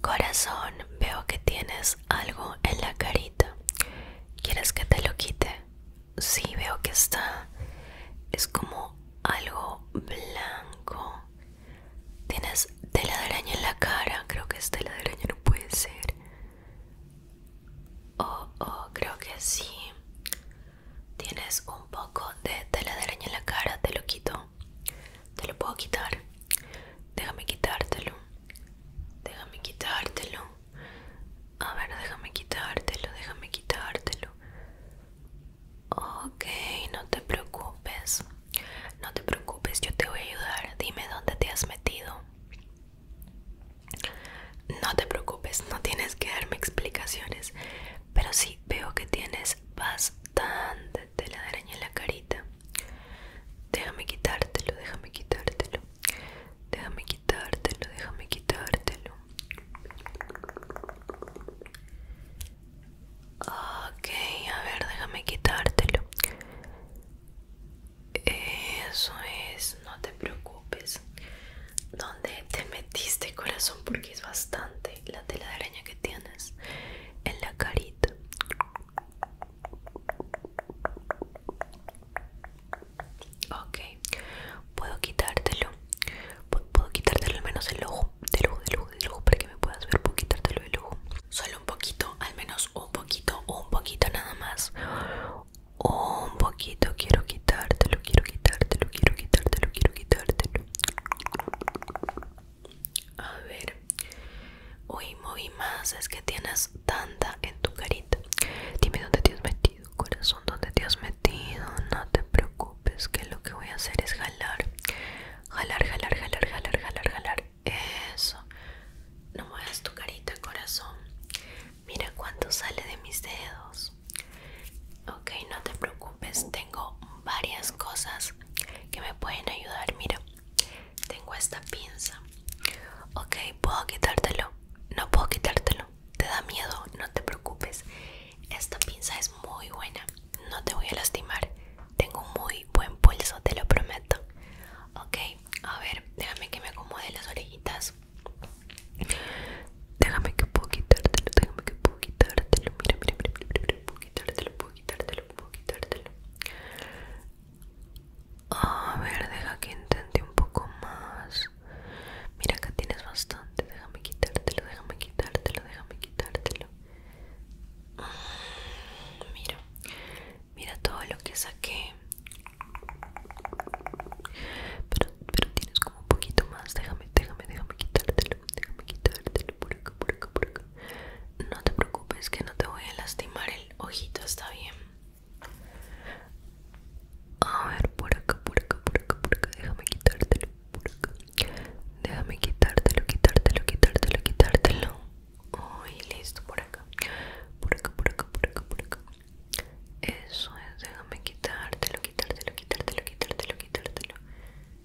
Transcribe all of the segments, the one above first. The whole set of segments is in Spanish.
Corazón, veo que tienes algo en la carita. ¿Quieres que te lo quite? Sí, veo que está. Es como algo blanco. Tienes tela de araña en la cara. Creo que es tela de araña, no puede ser. Oh, oh, creo que sí. Tienes un poco de tela de araña en la cara, te lo quito te lo puedo quitar. Déjame quitártelo. Déjame quitártelo. A ver, déjame quitártelo, déjame quitártelo. Ok, no te preocupes. No te preocupes, yo te voy a ayudar. Dime dónde te has metido. No te preocupes, no tienes que darme explicaciones. Pero sí veo que tienes bastante tela de araña en la carita. Déjame quitártelo, déjame quitártelo. Déjame quitártelo, déjame quitártelo. Ok, a ver, déjame quitártelo. Eso es, no te preocupes. ¿Dónde te metiste, corazón? Porque es bastante la tela de araña que tienes en la carita. Ok, puedo quitártelo. Puedo quitártelo al menos el ojo, del ojo, del ojo, ojo, para que me puedas ver. Puedo quitártelo el ojo. Solo un poquito, al menos un poquito, un poquito nada más. Un poquito, quiero quitártelo, quiero quitártelo, quiero quitártelo, quiero quitártelo. A ver. Uy, moví más. Es que tienes tanta en tu carita. Dime dónde te has metido, corazón. ¿Dónde te has metido? No te preocupes, que lo que voy a hacer es jalar. Jalar, jalar, jalar, jalar, jalar, jalar. Eso. No muevas tu carita, corazón. Mira cuánto sale de mis dedos. Ok, no te preocupes. Tengo varias cosas que me pueden ayudar. Mira, tengo esta pinza. Ok, puedo quitártelo. No puedo quitártelo. Te da miedo, no te preocupes. Esta pinza es muy buena. No te voy a lastimar. Tengo muy buen pulso, te lo prometo. Ok, a ver, déjame que me acomode las orejitas. Déjame que puedo quitártelo, déjame que puedo quitártelo. mira, mira, mira, mira puedo quitártelo, quitártelo, puedo quitártelo. A ver, deja que intente un poco más. Mira, acá tienes bastante. Déjame quitártelo, déjame quitártelo, déjame quitártelo. Mm, mira, mira todo lo que saqué. Pero, pero tienes como un poquito más. Déjame, déjame, déjame quitártelo. Déjame quitártelo por acá, por acá, por acá. No te preocupes que no te voy a lastimar el ojito, está bien. A ver, por acá, por acá, por acá, por acá. Déjame quitártelo, por acá. Déjame quitártelo, quitártelo, quitártelo, quitártelo. Uy, listo, por acá. Por acá, por acá, por acá, por acá. Eso es, déjame quitártelo, quitártelo, quitártelo, quitártelo, quitártelo.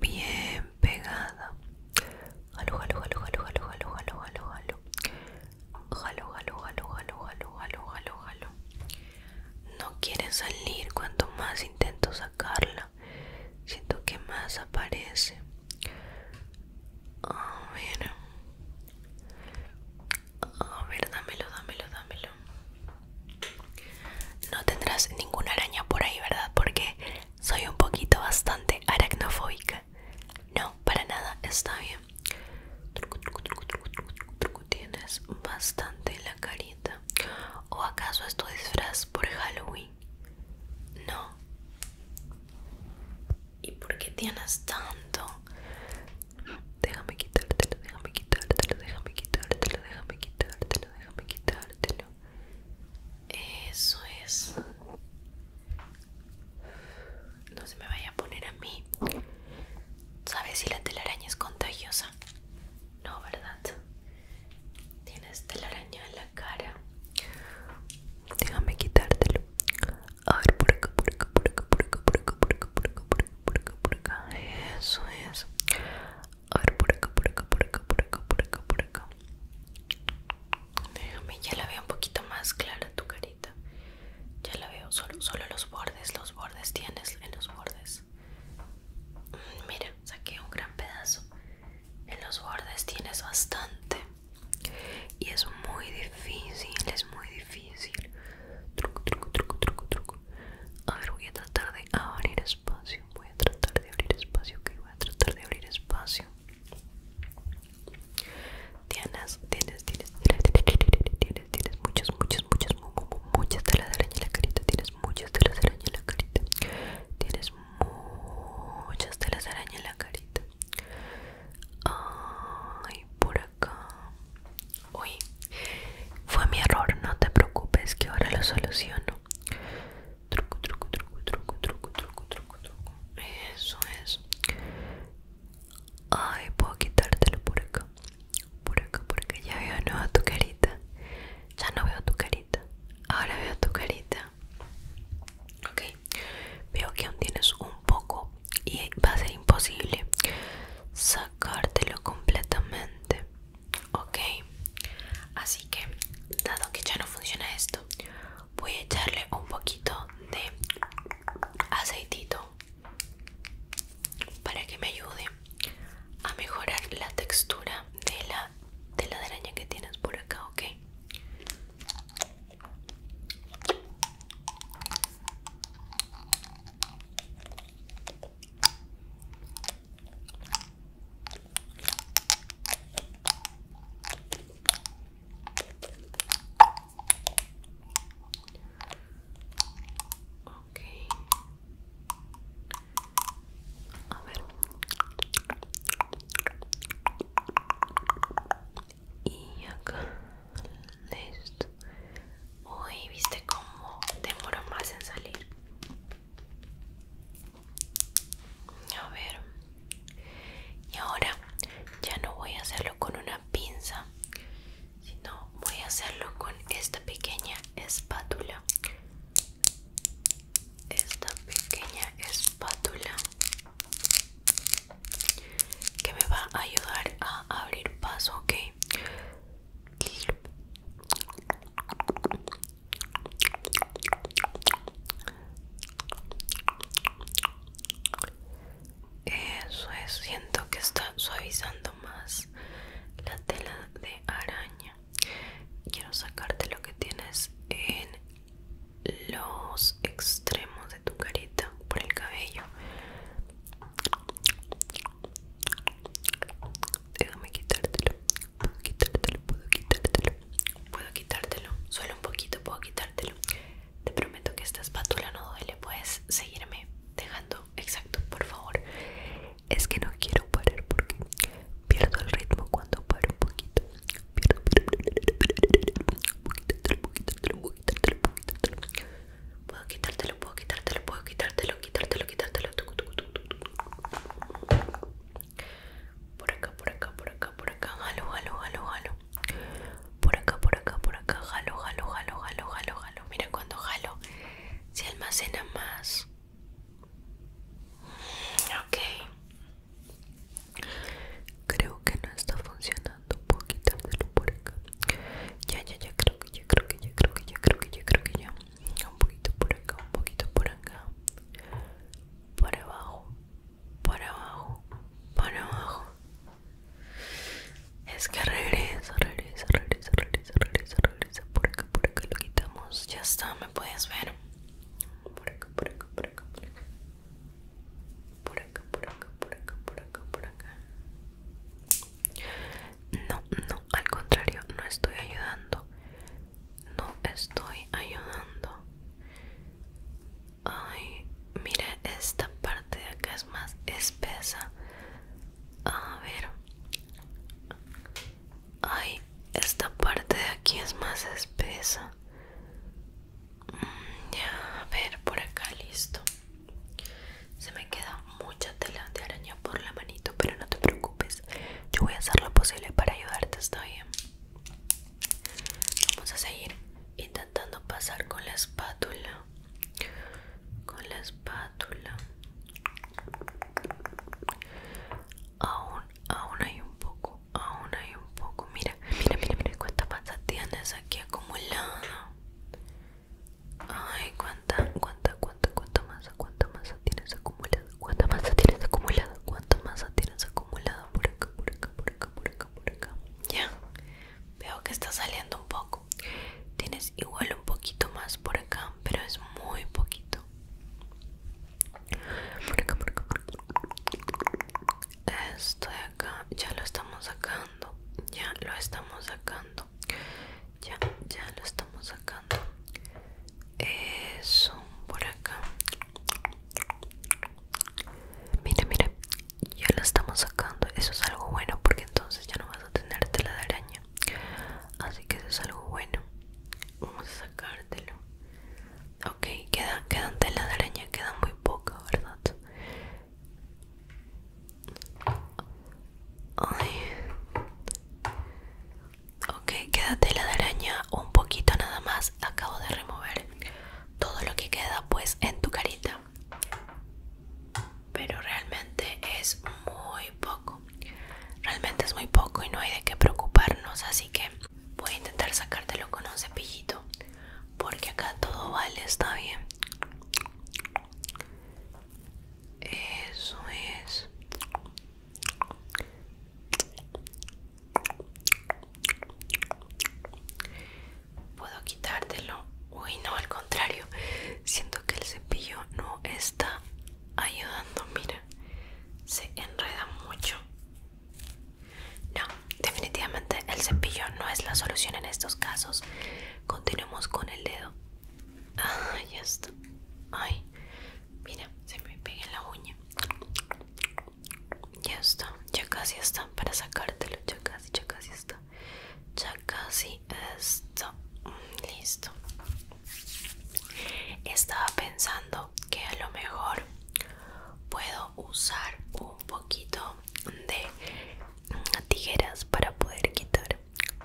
bien pegada. Jalo, jalo, jalo, jalo, jalo, jalo, jalo, jalo, jalo. Jalo, jalo, jalo, jalo, jalo, No quiere salir cuanto más intento sacarla. Siento que más aparece. A ver. A ver, dámelo, dámelo, dámelo. No tendrás ninguna araña por ahí, ¿verdad? Porque soy un poquito bastante aracnofóbica. No, para nada, está bien. Tienes bastante la carita. ¿O acaso es tu disfraz por Halloween? No. ¿Y por qué tienes tanto? Déjame quitártelo, déjame quitártelo, déjame quitártelo, déjame quitártelo, déjame quitártelo. Eso es. No se me vaya a poner a mí. ¿Sabes si la telaraña es contagiosa? No, ¿verdad? Tienes telaraña en la cara. Déjame quitártelo. A ver, por acá, por acá, por acá, por acá, por acá, por acá, por acá, por acá, por acá, por acá. Eso es. A ver, por acá, por acá, por acá, por acá, por acá, por acá. Déjame, ya la veo un poquito más clara tu carita. Ya la veo, solo, solo los bordes, los bordes tienes en los bordes. Mm, mira, saqué un gran pedazo. En los bordes tienes bastante. Y es muy difícil, es muy difícil. Truco, truco, truco, truco, truco. A ver, voy a tratar de abrir espacio voy a tratar de abrir espacio que voy a tratar de abrir espacio Tienes, tienes, tienes, tienes, tienes muchas, muchas, muchas, muchas telas de araña en la carita, tienes muchas telas de araña en la carita, tienes muchas telas de araña en la carita. Ay, por acá. Uy, fue mi error, no te preocupes que ahora lo soluciono. Truco, truco, truco, truco, truco, truco, truco, truco. Eso es. Ay, puedo quitártelo por acá. Por acá, por acá. Ya veo nueva tu carita. Ya no veo tu carita. Ahora veo tu carita. Ok. Veo que aún tienes un poco y va a ser imposible sacártelo completamente. Ok, así que dado que ya no funciona esto, voy a echarle un poquito de aceitito para que me ayude a mejorar la textura de la de la araña que tienes por acá, ok. Okay. A ver. Y acá. Listo. Uy, viste cómo demoró más en salir. A ver. Y ahora ya no voy a hacerlo con una pinza, sino voy a hacerlo con esta pequeña espátula. Esta pequeña espátula que me va a ayudar a abrir paso, ok. Eso es, siento que está suavizando más la tela de araña. Quiero sacarte lo que tienes en los extremos de tu carita por el cabello. Déjame quitártelo. Puedo quitártelo, puedo quitártelo Puedo quitártelo, solo un poquito puedo quitártelo Te prometo que esta espátula no duele Puedes seguirme dejando exacto, por favor Es que no quiero parar porque pierdo el ritmo cuando paro un poquito puedo quitártelo, puedo quitártelo Puedo quitártelo, puedo quitártelo, puedo quitártelo, quitártelo, quitártelo, quitártelo por acá, por acá, por acá, por acá, jalo, jalo, jalo, jalo. Por acá, por acá, por acá, jalo, jalo, jalo, jalo, jalo, halo. Mira cuando jalo, se almacena más. Ok. Creo que no está funcionando. poquito, por acá. Ya, ya, ya, creo que ya, creo que ya, creo que ya, creo que ya, creo que ya un poquito por acá, un poquito por acá, para abajo, para abajo, para abajo. Es que regresa, regresa, regresa, regresa, regresa, regresa. Por acá, por acá lo quitamos. Ya está, me puedes ver. por acá, por acá, por acá. Por acá, por acá, por acá, por acá, por acá. No, no, al contrario, no estoy ayudando. No estoy ayudando. Ay, mira, esta parte de acá es más espesa. A ver. Ay, esta parte de aquí es más espesa. Mm, ya, a ver, por acá listo. Se me queda mucha tela de araña por la manito, pero no te preocupes. Yo voy a hacer lo posible para ayudarte, ¿está bien? Vamos a seguir intentando pasar con la espátula. Con la espátula. Aún, aún hay un poco, aún hay un poco. Mira, mira, mira, mira cuánta masa tienes aquí acumulada. Ay, cuánta, cuánta, cuánta, cuánta masa, cuánta masa, tienes acumulada? ¿Cuánta masa tienes acumulada? ¿Cuánta masa tienes acumulada? Por acá, por acá, por acá, por acá, por acá. Ya. Veo que está saliendo un poco. Tienes igual un poquito más por acá, pero es muy poquito. Por acá, por acá, por acá. Esto de acá ya lo estamos sacando. Ya lo estamos sacando. Ya, ya lo estamos sacando. Eso, por acá. Mira, mira, ya lo estamos sacando. Eso es algo bueno porque entonces ya no vas a tener tela de araña. Así que eso es algo bueno. Vamos a sacártelo. Ok, quedan, quedan tela de araña, quedan muy poca, ¿verdad? Ay. Ok, quédate la de araña un poquito nada más. Acabo de remover todo lo que queda pues en tu carita. Pero realmente es muy poco. Realmente es muy poco y no hay de qué preocuparnos. Así que voy a intentar sacártelo con un cepillito. Porque acá todo vale, está bien. Eso es. Puedo quitártelo. Uy, no, al contrario. Siento que el cepillo no está ayudando. Mira, se enreda mucho. No, definitivamente el cepillo no es la solución en estos casos. Continuemos con el dedo. Ah, ya está. Ay, Mira, se me pega en la uña. Ya está, ya casi está para sacártelo. Ya casi, ya casi está. Ya casi está. Listo. Estaba pensando que a lo mejor puedo usar un poquito de tijeras para poder quitar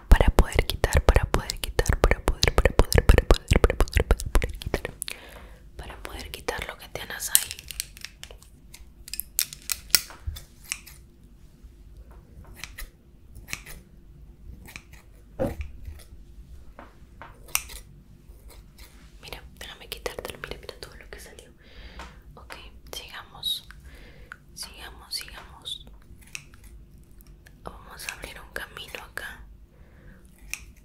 para poder quitar para poder quitar para poder para poder para poder para poder para poder quitar para poder quitar lo que tengas ahí Mira, déjame quitártelo, mira, mira todo lo que salió. Ok, sigamos, sigamos, sigamos vamos a abrir un camino acá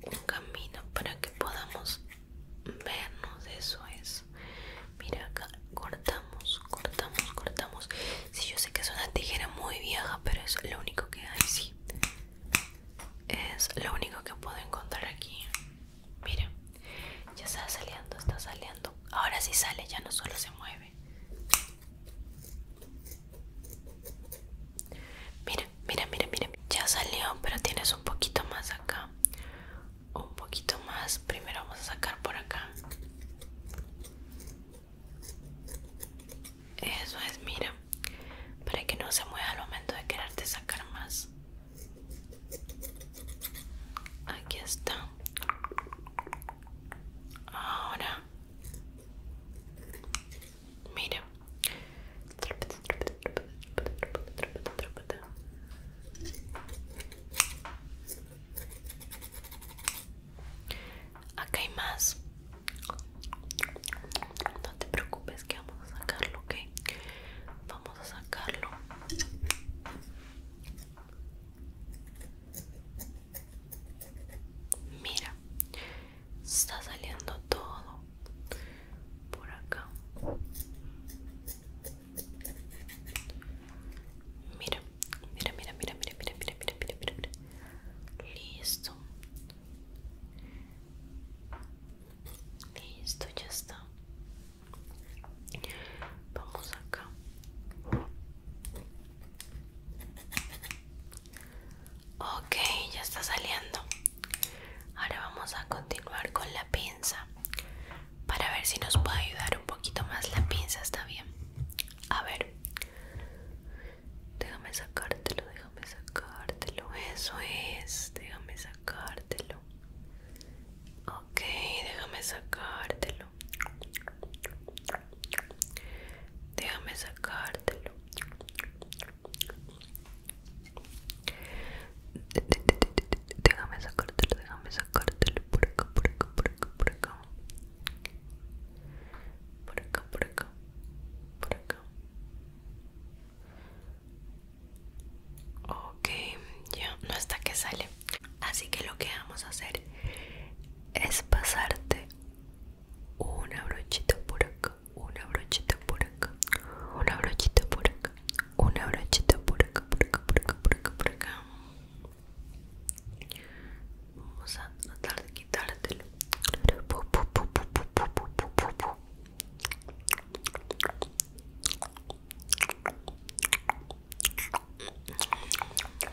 un camino para que podamos vernos eso es mira acá cortamos cortamos cortamos si yo sé que es una tijera muy vieja pero es lo único que hay sí es lo único que puedo encontrar aquí mira ya está saliendo está saliendo ahora sí sale ya no solo se mueve Mira, mira, mira, mira. Ya salió, pero tienes un poquito más acá. Un poquito más. Primero vamos a sacar por acá. Eso es, mira. Para que no se mueva al momento de quererte sacar más. Aquí está. Ahora Mira. Acá hay más. No te preocupes que vamos a sacarlo, ¿ok? Vamos a sacarlo. Mira, está saliendo todo por acá. Mira, mira, mira, mira, mira, mira, mira, mira, mira, mira, Listo. Listo, ya está. Vamos acá. Ok, ya está saliendo. Ahora vamos a continuar con la pinza. Para ver si nos puede ayudar un poquito más la pinza, está bien. A ver. Déjame sacártelo, déjame sacártelo. Eso es. Déjame sacártelo. Ok, déjame sacártelo. Déjame sacártelo. Déjame sacártelo, déjame sacártelo por acá, por acá, por acá, por acá. Por acá, por acá, por acá. Ok, ya no está que sale. Así que lo que vamos a hacer es pasarte una brochita por acá, una brochita por acá, una brochita por acá, una brochita por acá, por acá, por acá, por acá, por acá. Vamos a tratar de quitártelo.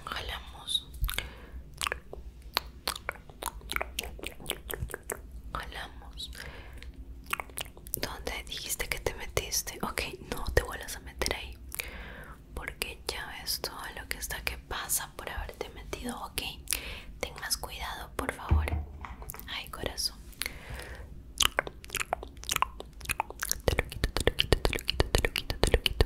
Jalamos Jalamos. ¿Dónde dijiste que te metiste? Ok, no te vuelvas a meter ahí. Porque ya ves todo lo que está que pasa por haberte metido. Ok, ten más cuidado, por favor. Ay, corazón. Te lo quito, te lo quito, te lo quito, te lo quito, te lo quito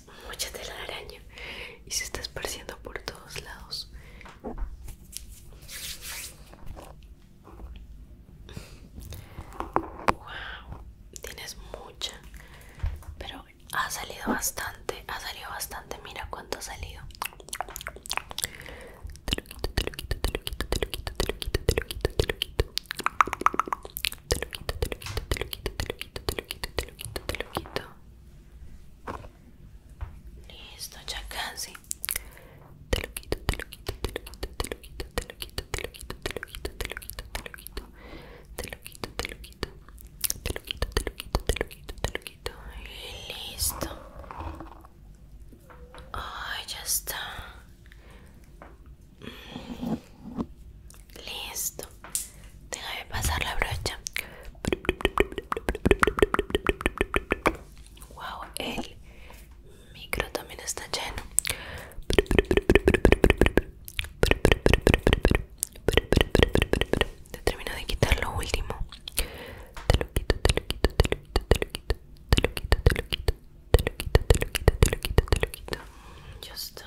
mucha tela de araña y se está esparciendo por todos lados. Wow, tienes mucha, pero ha salido bastante, ha salido bastante. Mira cuánto ha salido. Te lo quito, te lo quito, te lo quito, te lo quito, te lo quito, te lo quito, te lo quito te lo quito, te lo quito, te lo quito, te lo quito, te lo quito, te lo quito, te lo quito. Listo, ya casi. Te lo quito, te lo quito, te lo quito, te lo quito, te lo quito, te lo quito, te lo quito, te lo quito, te lo quito, te lo quito, te lo quito, te lo quito, te lo quito, te lo quito, te lo quito. Listo. Ay, ya está. Listo. Déjame pasar la brocha. Wow, el micro también está lleno. Te termino de quitar lo último. Te lo quito, te lo quito, te lo quito, te lo quito, te lo quito, te lo quito, te lo quito, te lo quito, te lo quito, te lo Ya está.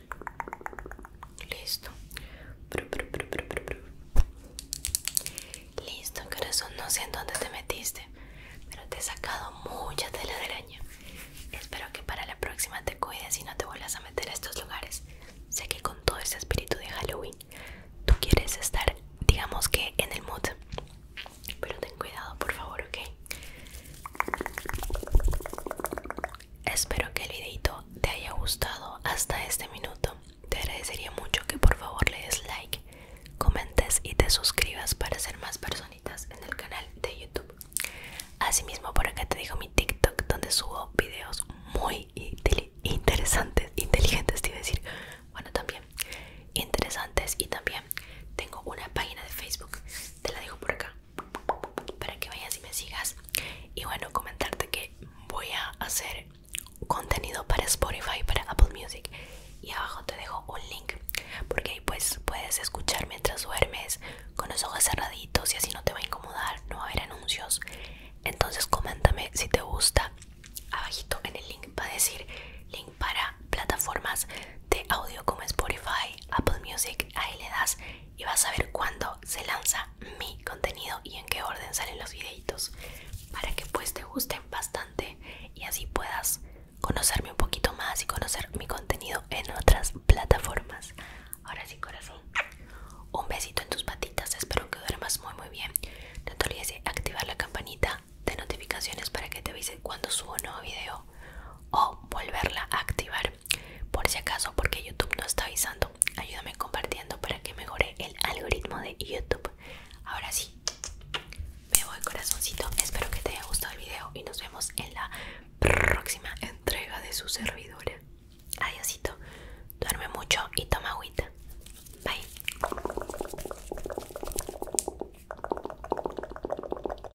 Listo. Listo, corazón. No sé en dónde te metiste, pero te he sacado mucha tela de araña. Espero que para la próxima te cuides y no te vuelvas a meter a estos lugares. Sé que con todo ese espíritu de Halloween tú quieres estar, digamos que, en el mood. Pero ten cuidado, por favor, ¿ok? Espero que el videito te haya gustado hasta este minuto. Te agradecería mucho que por favor le des like, comentes y te suscribas para ser más personitas en el canal de YouTube. Asimismo, por acá te dejo mi TikTok donde subo videos muy interesantes, inteligentes, quiero decir, bueno, también interesantes y también tengo una página de Facebook, te la dejo por acá para que vayas y me sigas. Y bueno, comentarte que voy a hacer contenido para Spotify, para Apple Music. Y abajo te dejo un link porque ahí pues puedes escuchar mientras duermes con los ojos cerraditos y así no te va a incomodar, no va a haber anuncios. Entonces coméntame si te gusta. Abajito en el link va a decir link para plataformas de audio como Spotify, Apple Music, ahí le das y vas a ver cuándo se lanza mi contenido y en qué orden salen los videitos para que pues te gusten bastante y así puedas conocerme un poquito más y conocer mi contenido en otras plataformas. Ahora sí, corazón. Un besito en tus patitas, espero que duermas muy muy bien. No te olvides de activar la campanita de notificaciones para que te avise cuando subo un nuevo video o volverla a activar por si acaso porque YouTube no está avisando ayúdame compartiendo para que mejore el algoritmo de YouTube ahora sí me voy corazoncito espero que te haya gustado el video y nos vemos en la próxima entrega de su servidora adiósito duerme mucho y toma agüita bye